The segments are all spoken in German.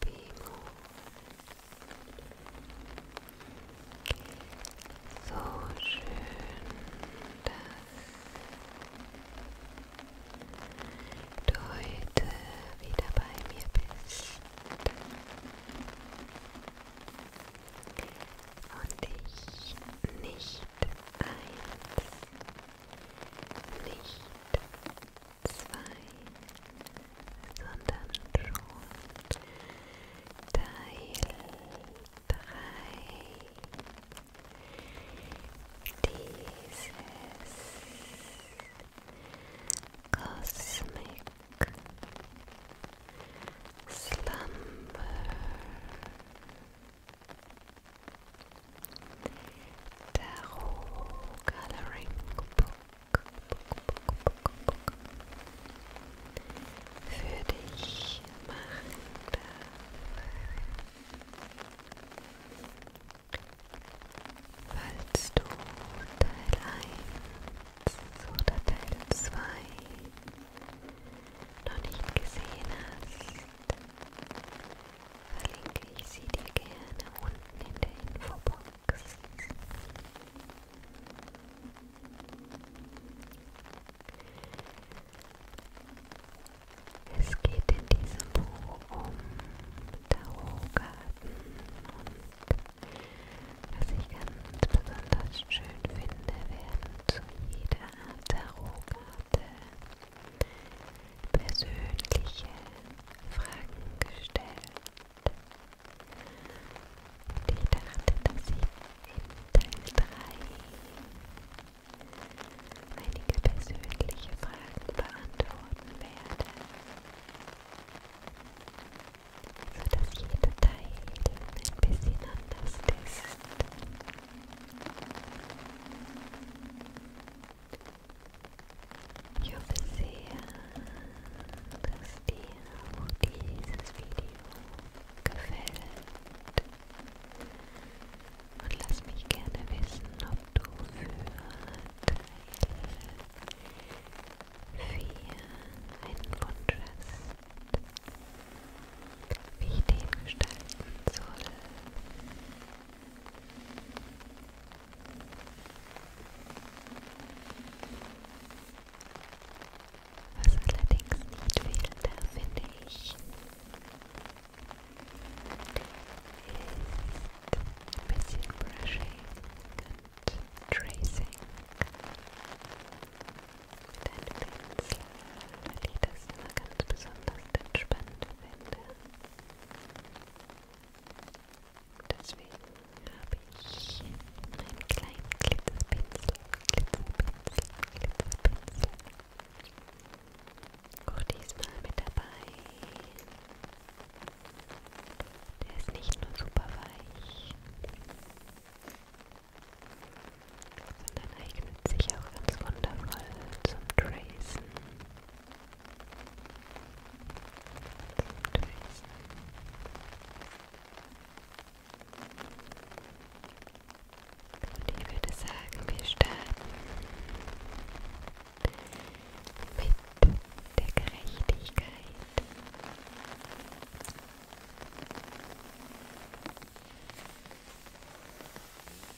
Bewegung. So schön, dass du heute wieder bei mir bist. Und dich nicht eins, nicht zwei, sondern schon Teil drei dieses Cosmic Slumber. Tarot Coloring für dich machen darf. Falls du Teil 1 oder Teil 2 noch nicht gesehen hast, verlinke ich sie dir gerne unten in der Infobox. Es geht in diesem Buch um Tarotkarten und was ich ganz besonders schön finde, werden zu jeder Art Tarotkarte persönliche Fragen gestellt. Und ich dachte, dass ich in Teil 3 einige persönliche Fragen beantworten werde. Sodass jeder Teil ein bisschen anders ist. Ich hoffe sehr, dass dir auch dieses Video gefällt. Und lass mich gerne wissen, ob du für Teil 4 einen Wunsch hast, wie ich den gestalten soll. Was allerdings nicht fehlte, finde ich, ist ein bisschen Brushing und Tracing mit einem Pinsel, weil ich das immer ganz besonders entspannt finde. Deswegen habe ich einen kleinen Glitzerpinsel, Glitzerpinsel, Glitzerpinsel. Auch diesmal mit dabei. Der ist nicht nur super weich, sondern eignet sich auch ganz wundervoll zum Tracen. Und ich würde sagen, wir starten mit der Gerechtigkeit.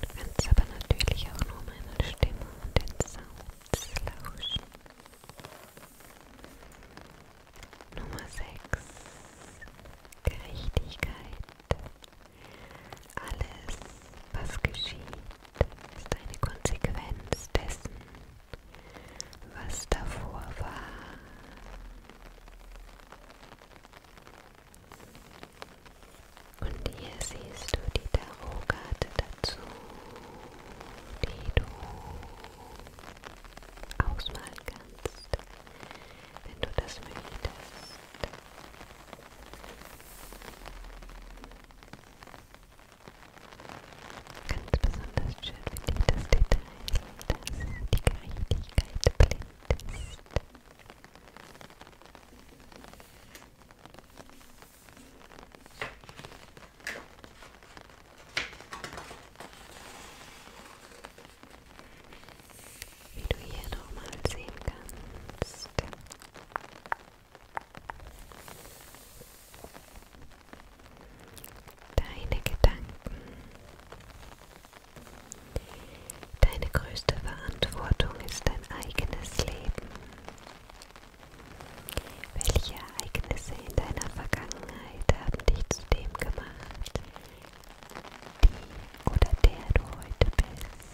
Du kannst aber natürlich auch nur meine Stimme und den Sound lauschen. Nummer 6. Gerechtigkeit. Alles, was geschieht, ist eine Konsequenz dessen, was davor war. Und hier siehst du die Tarotkarte dazu, die du ausmalen kannst, wenn du das möchtest. Ganz besonders schön finde ich das Detail, dass die Gerechtigkeit blind ist. Wie du hier nochmal sehen kannst. Deine Gedanken. Deine größte Verantwortung ist dein eigenes Leben. Welche Ereignisse in deiner Vergangenheit haben dich zu dem gemacht, die oder der du heute bist?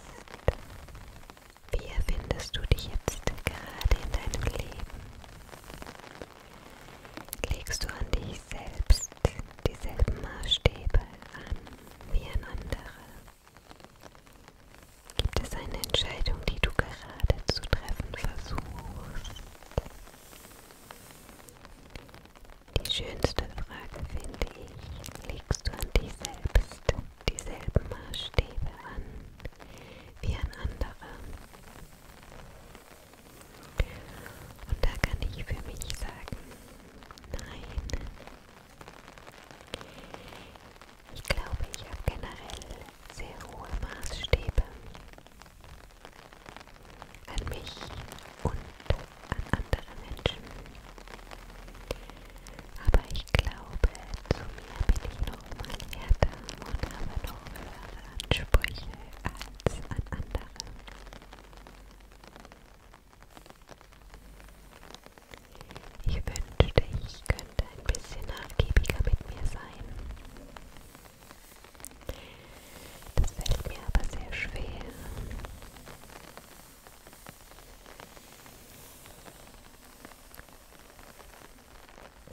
Wie erfindest du dich jetzt gerade in deinem Leben? Legst du an dich selbst dieselben Maßstäbe an wie an andere? Gibt es eine Entscheidung, die du gerade zu treffen versuchst? Die schönste Frage, finde ich, legst du an dich selbst dieselben Maßstäbe an wie an andere? Und da kann ich für mich sagen, nein, ich glaube, ich habe generell sehr hohe Maßstäbe an mich und an andere Menschen. Aber ich glaube, zu mir bin ich noch mal härter und habe noch höhere Ansprüche als an andere. Ich wünschte, ich könnte ein bisschen nachgiebiger mit mir sein. Das fällt mir aber sehr schwer.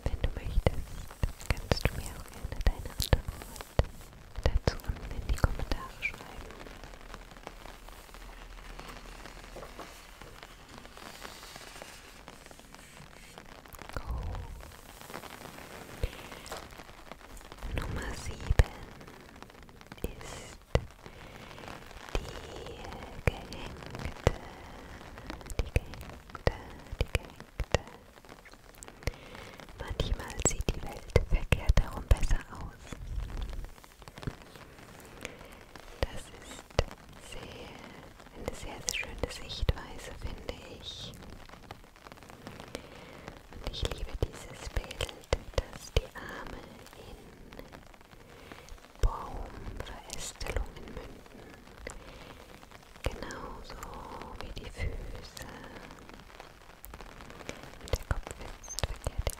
Wenn du möchtest, kannst du mir auch gerne deine Antwort dazu unten in die Kommentare schreiben. Go. Nummer sieben ist die gehängte, die gehängte, die gehängte. Manchmal sieht die Welt verkehrt herum besser aus. Das ist sehr, eine sehr, sehr schöne Sichtweise, finde ich. Und ich liebe dieses Bild, dass die Arme in Baumverästelungen münden. Genauso wie die Füße. Und der Kopf ist verkehrt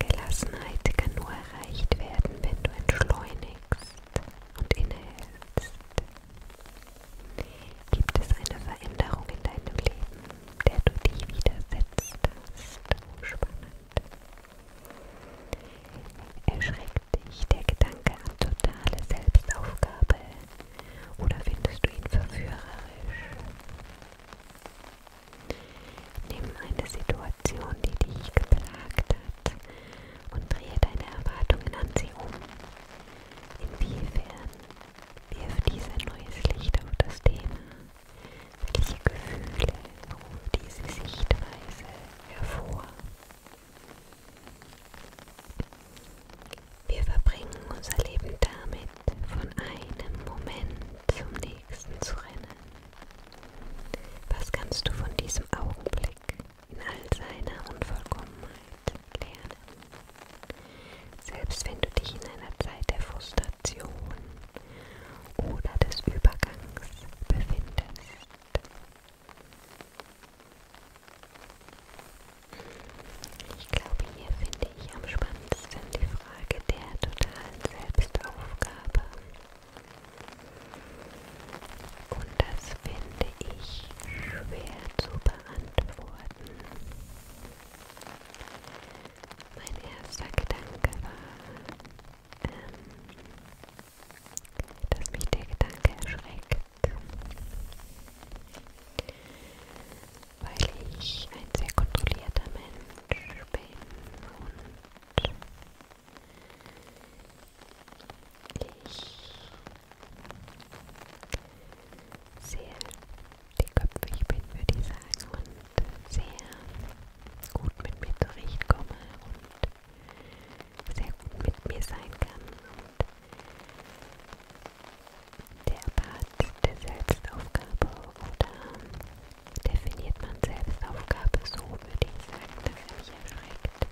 Gelassenheit kann nur erreicht werden, wenn du entschleunigst und innehältst. Gibt es eine Veränderung in deinem Leben, der du dich widersetzt hast? Oh, spannend. Erschreckt dich der Gedanke an totale Selbstaufgabe oder findest du ihn verführerisch? Nimm eine Situation, die dich geplagt hat, und drehe deine Erwartungen an sie um. Inwiefern wirft dies ein neues Licht auf das Thema? Welche Gefühle ruft diese Sichtweise hervor? Wir verbringen unser Leben damit, von einem Moment zum nächsten zu rennen. Was kannst du von diesem Augenblick in all seiner Unvollkommenheit lernen? Selbst wenn du dich in einer Zeit der Frustration oder des Übergangs befindest. Ich glaube, hier finde ich am spannendsten die Frage. Frage der totalen Selbstaufgabe. Und das finde ich schwer zu beantworten. Mein erster Gedanke war, ähm, dass mich der Gedanke erschreckt, weil ich ein sehr kontrollierter Mensch bin und ich sehe die Köpfe, ich bin, würde ich sagen, und sehr gut mit mir zurechtkomme und sehr gut mit mir sein kann. Und der Part der Selbstaufgabe oder definiert man Selbstaufgabe so, würde ich sagen, dass er mich erschreckt.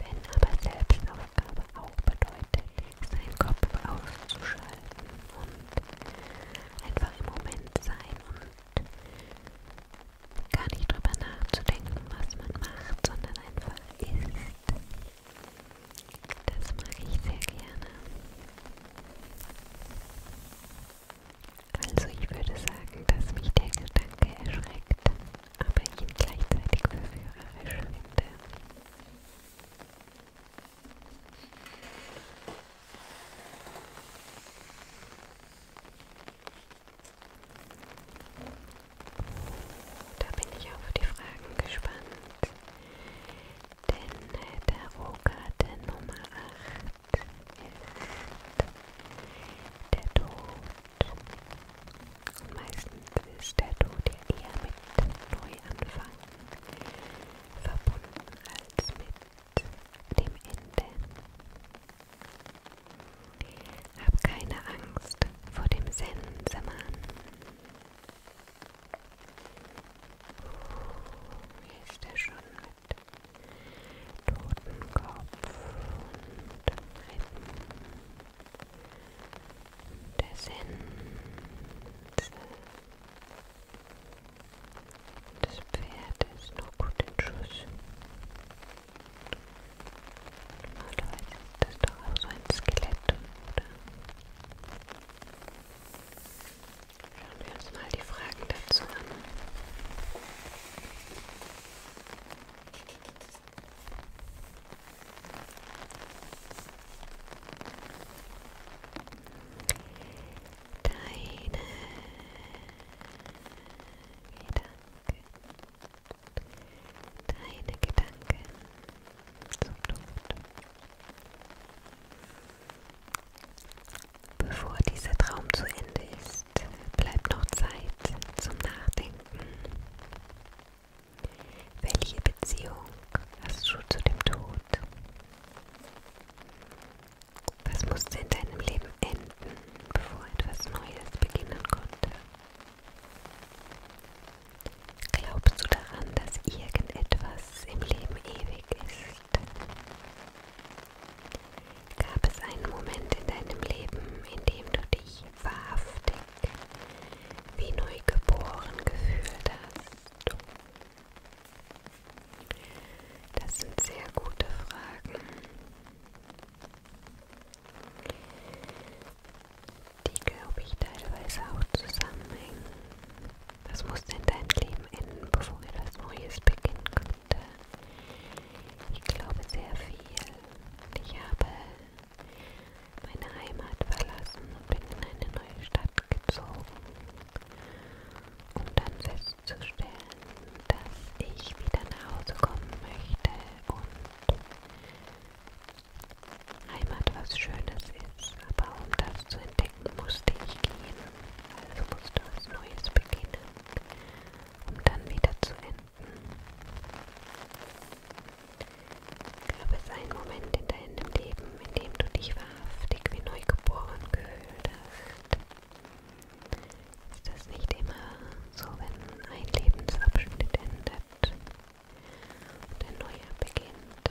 Wenn aber Selbstaufgabe auch bedeutet, seinen Kopf auszuschalten und einfach im Moment sein und gar nicht drüber nachzudenken, was man macht, sondern einfach ist. Das mag ich sehr gerne. Also ich würde sagen, dass mich der Gedanke erschreckt, aber ihn gleichzeitig verführerisch finde. Da bin ich auf die Fragen gespannt, denn der Rohgarten Nummer 8 ist der Tod. Und meistens ist der Tod ja eher mit Neuanfang verbunden als mit dem Ende. Hab keine Angst vor dem Sensemann. Hier ist er schon mit Totenkopf und Rippen der Sense. Das Pferd ist noch gut in Schuss. Normalerweise ist das doch auch so ein Skelett, oder? Schauen wir uns mal die Fragen dazu an. Deine Gedanken, deine Gedanken zum Duft. Bevor dieser Traum zu Ende ist, bleibt noch Zeit zum Nachdenken. Welche Beziehung hast du zu dem Tod? Was musste in deinem Leben enden, bevor etwas Neues beginnen konnte? Glaubst du daran, dass irgendetwas im Leben ewig ist? bist. Gab es einen Moment in deinem Leben, in dem du dich wahrhaftig wie neugeboren gefühlt hast? Das sind sehr gute Fragen. Die glaube ich teilweise auch zusammenhängen. Was musste in deinem Leben enden, bevor etwas Neues beginnen konnte? Ich glaube sehr viel. Ich habe meine Heimat verlassen und bin in eine neue Stadt gezogen, um dann festzustellen, dass ich wieder nach Hause kommen möchte und Heimat was Schönes ist, aber um das zu entdecken, Weg musste ich gehen, also musste was Neues beginnen, um dann wieder zu enden. Gab es einen Moment in deinem Leben, in dem du dich wahrhaftig wie neugeboren gefühlt hast? Ist das nicht immer so, wenn ein Lebensabschnitt endet und ein neuer beginnt?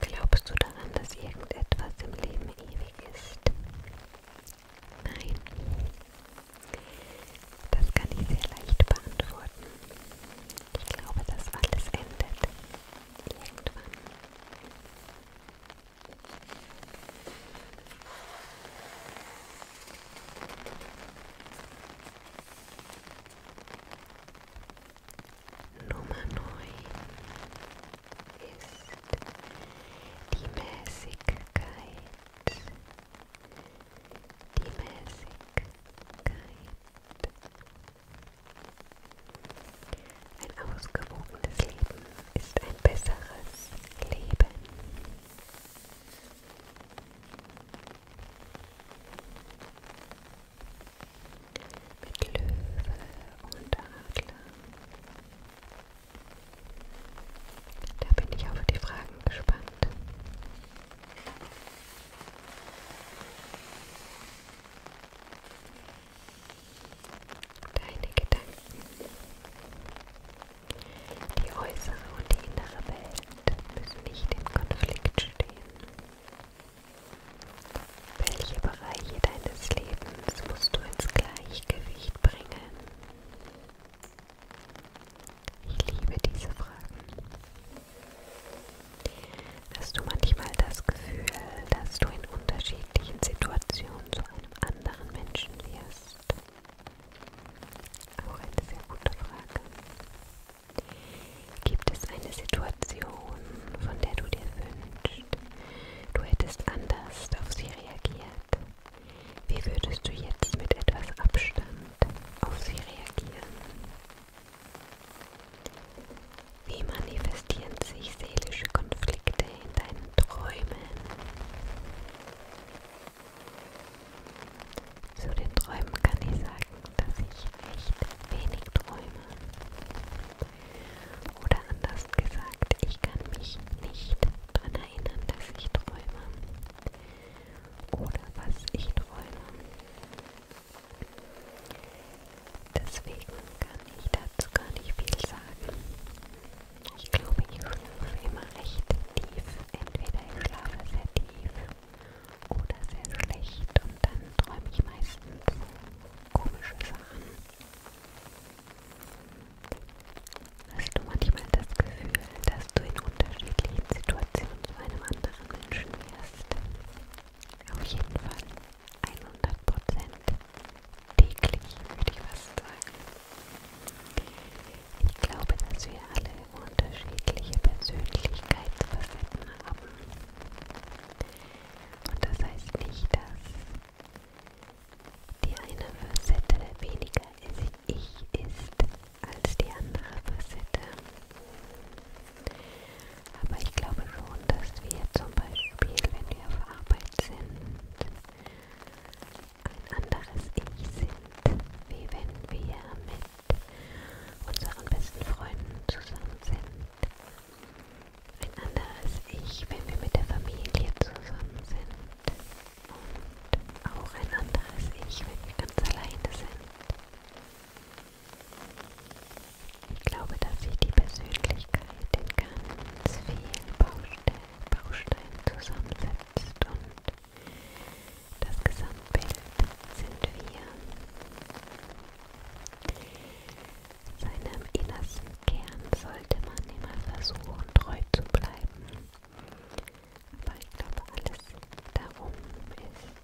Glaubst du daran, dass irgendetwas im Leben ewig ist? Nein. Das kann ich sehr leicht beantworten. Ich glaube, dass alles endet. Irgendwann. Nummer neun ist die Mäßigkeit. Die Mäßigkeit. Ein ausgewogenes Leben ist ein besseres Leben. Mit Löwe und Adler. Da bin ich auf die Fragen gespannt. Deine Gedanken. Die äußere und die innere Welt müssen nicht im Konflikt stehen. Welche Bereiche deines Lebens musst du ins Gleichgewicht bringen? Ich liebe diese Fragen. Hast du manchmal das Gefühl, dass du in unterschiedlichen Situationen zu einem anderen Menschen wirst? Auch eine sehr gute Frage. Gibt es eine Situation, von der du dir wünschst, du hättest anders auf sie reagiert? Wie würdest du jetzt mit etwas Abstand auf sie reagieren? Wie manifestieren sich seelische Konflikte in deinen Träumen? Zu den Träumen kann ich sagen, dass ich recht wenig träume. Oder anders gesagt, ich kann mich nicht daran erinnern, dass ich träume. Oder was ich träume. Deswegen kann ich dazu gar nicht viel sagen. Ich glaube, ich schlafe immer recht tief. Entweder ich schlafe sehr tief oder sehr schlecht und dann träume ich meistens komische Sachen. Hast du manchmal das Gefühl, dass du in unterschiedlichen Situationen zu einem anderen Menschen wirst? Auf jeden Fall 100% täglich, würde ich fast sagen. Ich glaube, dass wir alle unterschiedliche Persönlichkeitsfacetten haben. Und das heißt nicht, dass die eine Facette weniger ist, ich ist als die andere Facette. Aber ich glaube schon, dass wir zum Beispiel, wenn wir auf Arbeit sind, ein anderes Ich sind, wie wenn wir mit unseren besten Freunden zusammen sind. Ein anderes Ich, wenn wir mit der Familie zusammen sind. Und auch ein anderes Ich, wenn wir ganz alleine sind. Ich glaube, dass sich die Persönlichkeit in ganz vielen Baustellen Baustein zusammensetzt und das Gesamtbild sind wir. Seinem innersten Kern sollte man immer versuchen, treu zu bleiben. Aber ich glaube, alles darum ist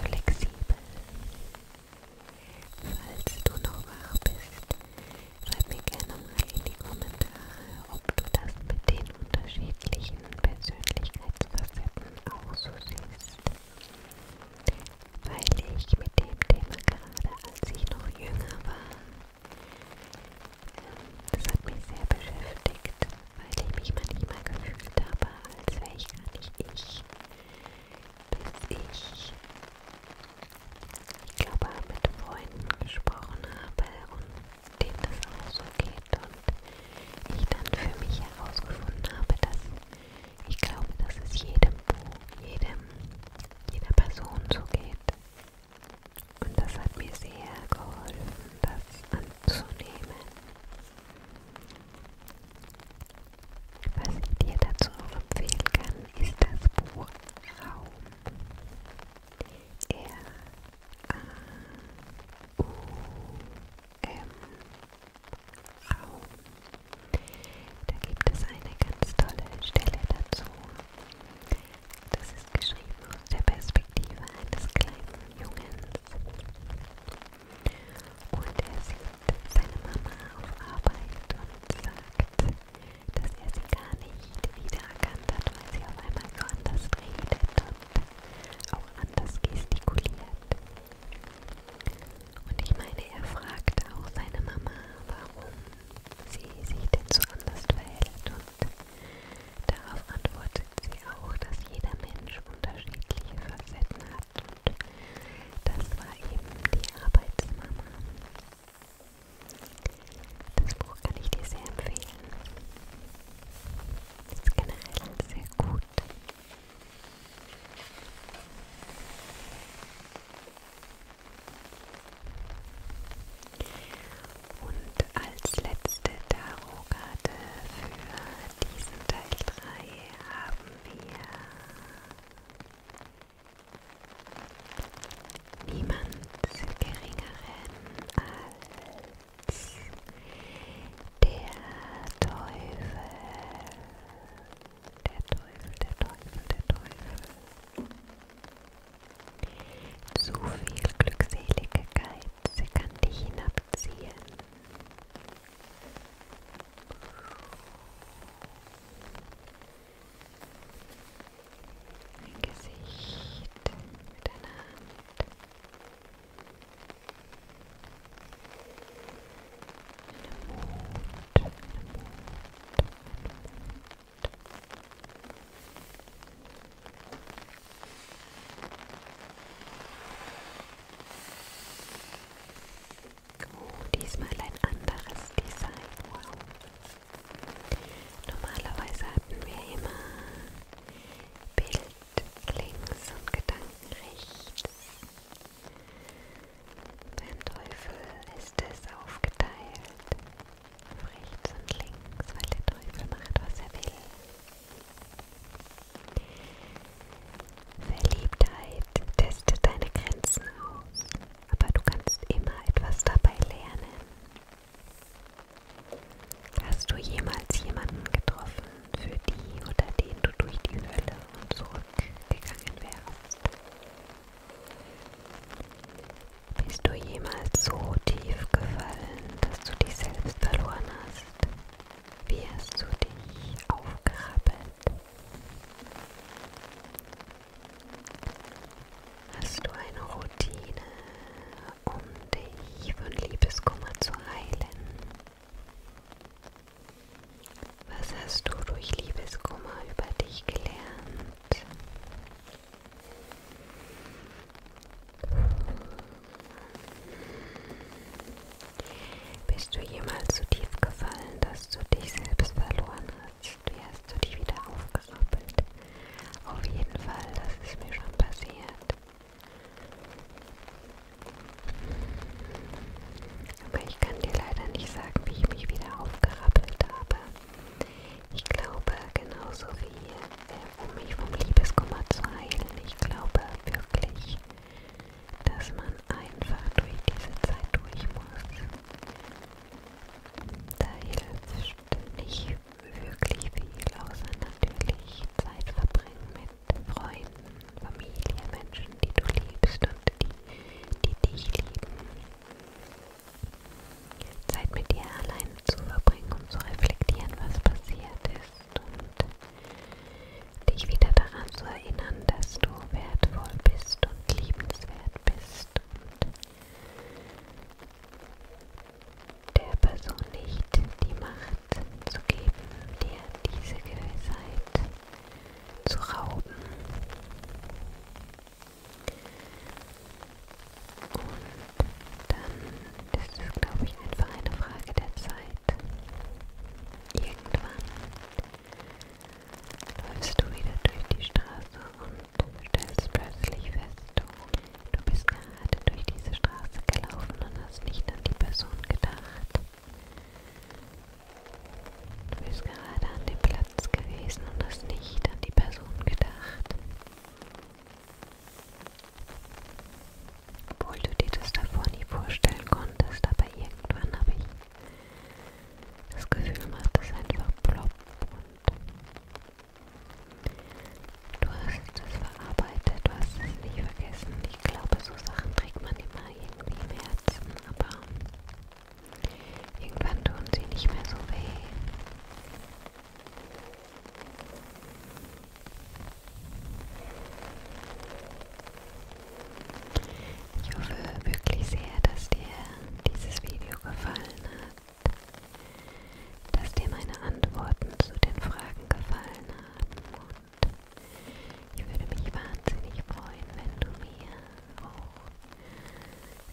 flexibel. Falls du noch wach bist, Schreib mir gerne mal in die Kommentare, ob du das mit den unterschiedlichen Persönlichkeitsfacetten auch so siehst. Weil ich mit dem Thema gerade, als ich noch jünger war, ähm, das hat mich sehr beschäftigt, weil ich mich manchmal gefühlt habe, als wäre ich gar nicht ich, bis ich ich glaube, mit Freunden gesprochen habe und denen das auch so geht und ich dann für mich herausgefunden habe, dass ich glaube, dass es jedem Buch, jedem, jeder Person so geht. Und das hat mir sehr geholfen, das anzunehmen. Was ich dir dazu empfehlen kann, ist das Buch Raum. R A U M Raum. Da gibt es eine ganz tolle Stelle dazu. Das ist geschrieben aus der Perspektive eines kleinen Jungens. Und er sieht seine Mama auf Arbeit und sagt, dass er sie gar nicht wiedererkannt hat, weil sie auf einmal so anders redet und auch anders gestikuliert. Und ich meine, er fragt auch seine Mama, warum sie sich denn so anders verhält. Und darauf antwortet sie auch, dass jeder Mensch unterschiedliche Facetten hat. Und das war eben die Arbeitsmama. Das Buch kann ich dir sehr empfehlen. Es ist generell sehr gut. Und als letzte Tarotkarte für diesen Teil 3 haben wir niemand geringeren als der Teufel. Der Teufel, der Teufel, der Teufel. Zu viel Glückseligkeit, sie kann dich hinabziehen. Mein Gesicht mit deiner Hand. Meine Mut, meine Mut, meine Mut. Deine Augen. Oh, diesmal ein anderes Design. Wow. Normalerweise hatten wir immer Bild links und Gedanken rechts. Beim Teufel ist es aufgeteilt auf rechts und links, weil der Teufel macht, was er will. Verliebtheit testet deine Grenzen aus aber du kannst immer etwas dabei lernen. Hast du jemals jemanden getroffen, für die oder den du durch die Hölle und zurückgegangen wärst? Bist du jemals so tief gefallen, dass du dich selbst verloren hast? Wie hast du dich aufgerappelt? Hast du eine Routine, um dich von Liebeskummer zu heilen? Was hast du durch Liebeskummer über dich gelernt? Bist du jemals so tief gefallen, dass du dich selbst verloren hast? hast, wie hast du dich wieder aufgerappelt? Auf jeden Fall, das ist mir schon passiert. Aber ich kann dir leider nicht sagen, wie ich mich wieder aufgerappelt habe. Ich glaube, genauso wie äh, um mich vom Liebeskummer zu heilen, ich glaube wirklich, dass man einfach durch diese Zeit durch muss. Da hilft nicht wirklich viel, außer natürlich Zeit verbringen mit Freunden, Familie, Menschen, die du liebst und die, die dich lieben. Zeit mit dir allein zu verbringen, um zu reflektieren, was passiert ist und dich wieder daran zu erinnern, dass du wertvoll bist und liebenswert bist und der Person nicht die Macht zu geben, dir diese Gewissheit zu rauben. Und dann ist es, glaube ich, einfach eine Frage der Zeit. Irgendwann läufst du wieder durch die Straße und stellst plötzlich fest, du bist gerade durch diese Straße gelaufen und hast nicht an die Person gedacht. Du bist gerade an dem Platz gewesen und hast nicht an die Person gedacht. Obwohl du dir das davor nie vorstellen konntest, aber irgendwann habe ich das Gefühl macht es einfach plopp und du hast es verarbeitet, du hast es nicht vergessen. Ich glaube, so Sachen trägt man immer irgendwie im Herzen, aber irgendwann tun sie nicht mehr so weh. Ich hoffe wirklich sehr, dass dir dieses Video gefallen hat, dass dir meine Antworten zu den Fragen gefallen haben und ich würde mich wahnsinnig freuen, wenn du mir auch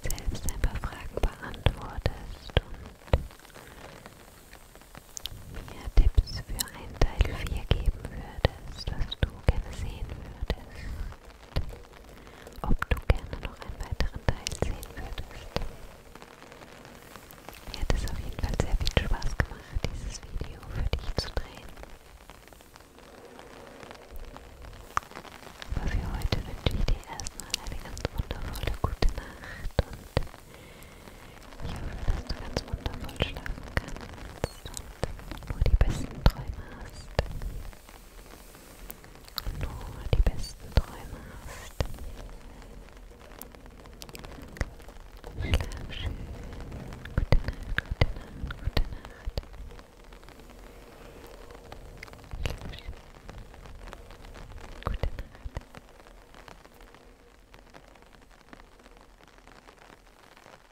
selbst ein paar Fragen beantwortest und mir Tipps für ein Teil 4 geben würdest, was du gerne sehen würdest. Ob du gerne noch einen weiteren Teil sehen würdest. Mir hat es auf jeden Fall sehr viel Spaß gemacht, dieses Video für dich zu drehen. Aber für heute wünsche ich dir erstmal eine ganz wundervolle gute Nacht und ich hoffe, dass du ganz wundervoll schlafen kannst und nur die besten Träume hast. Und nur die besten Träume hast. Schlaf schön. Gute Nacht, gute Nacht, gute Nacht. Schlaf schön. Gute Nacht.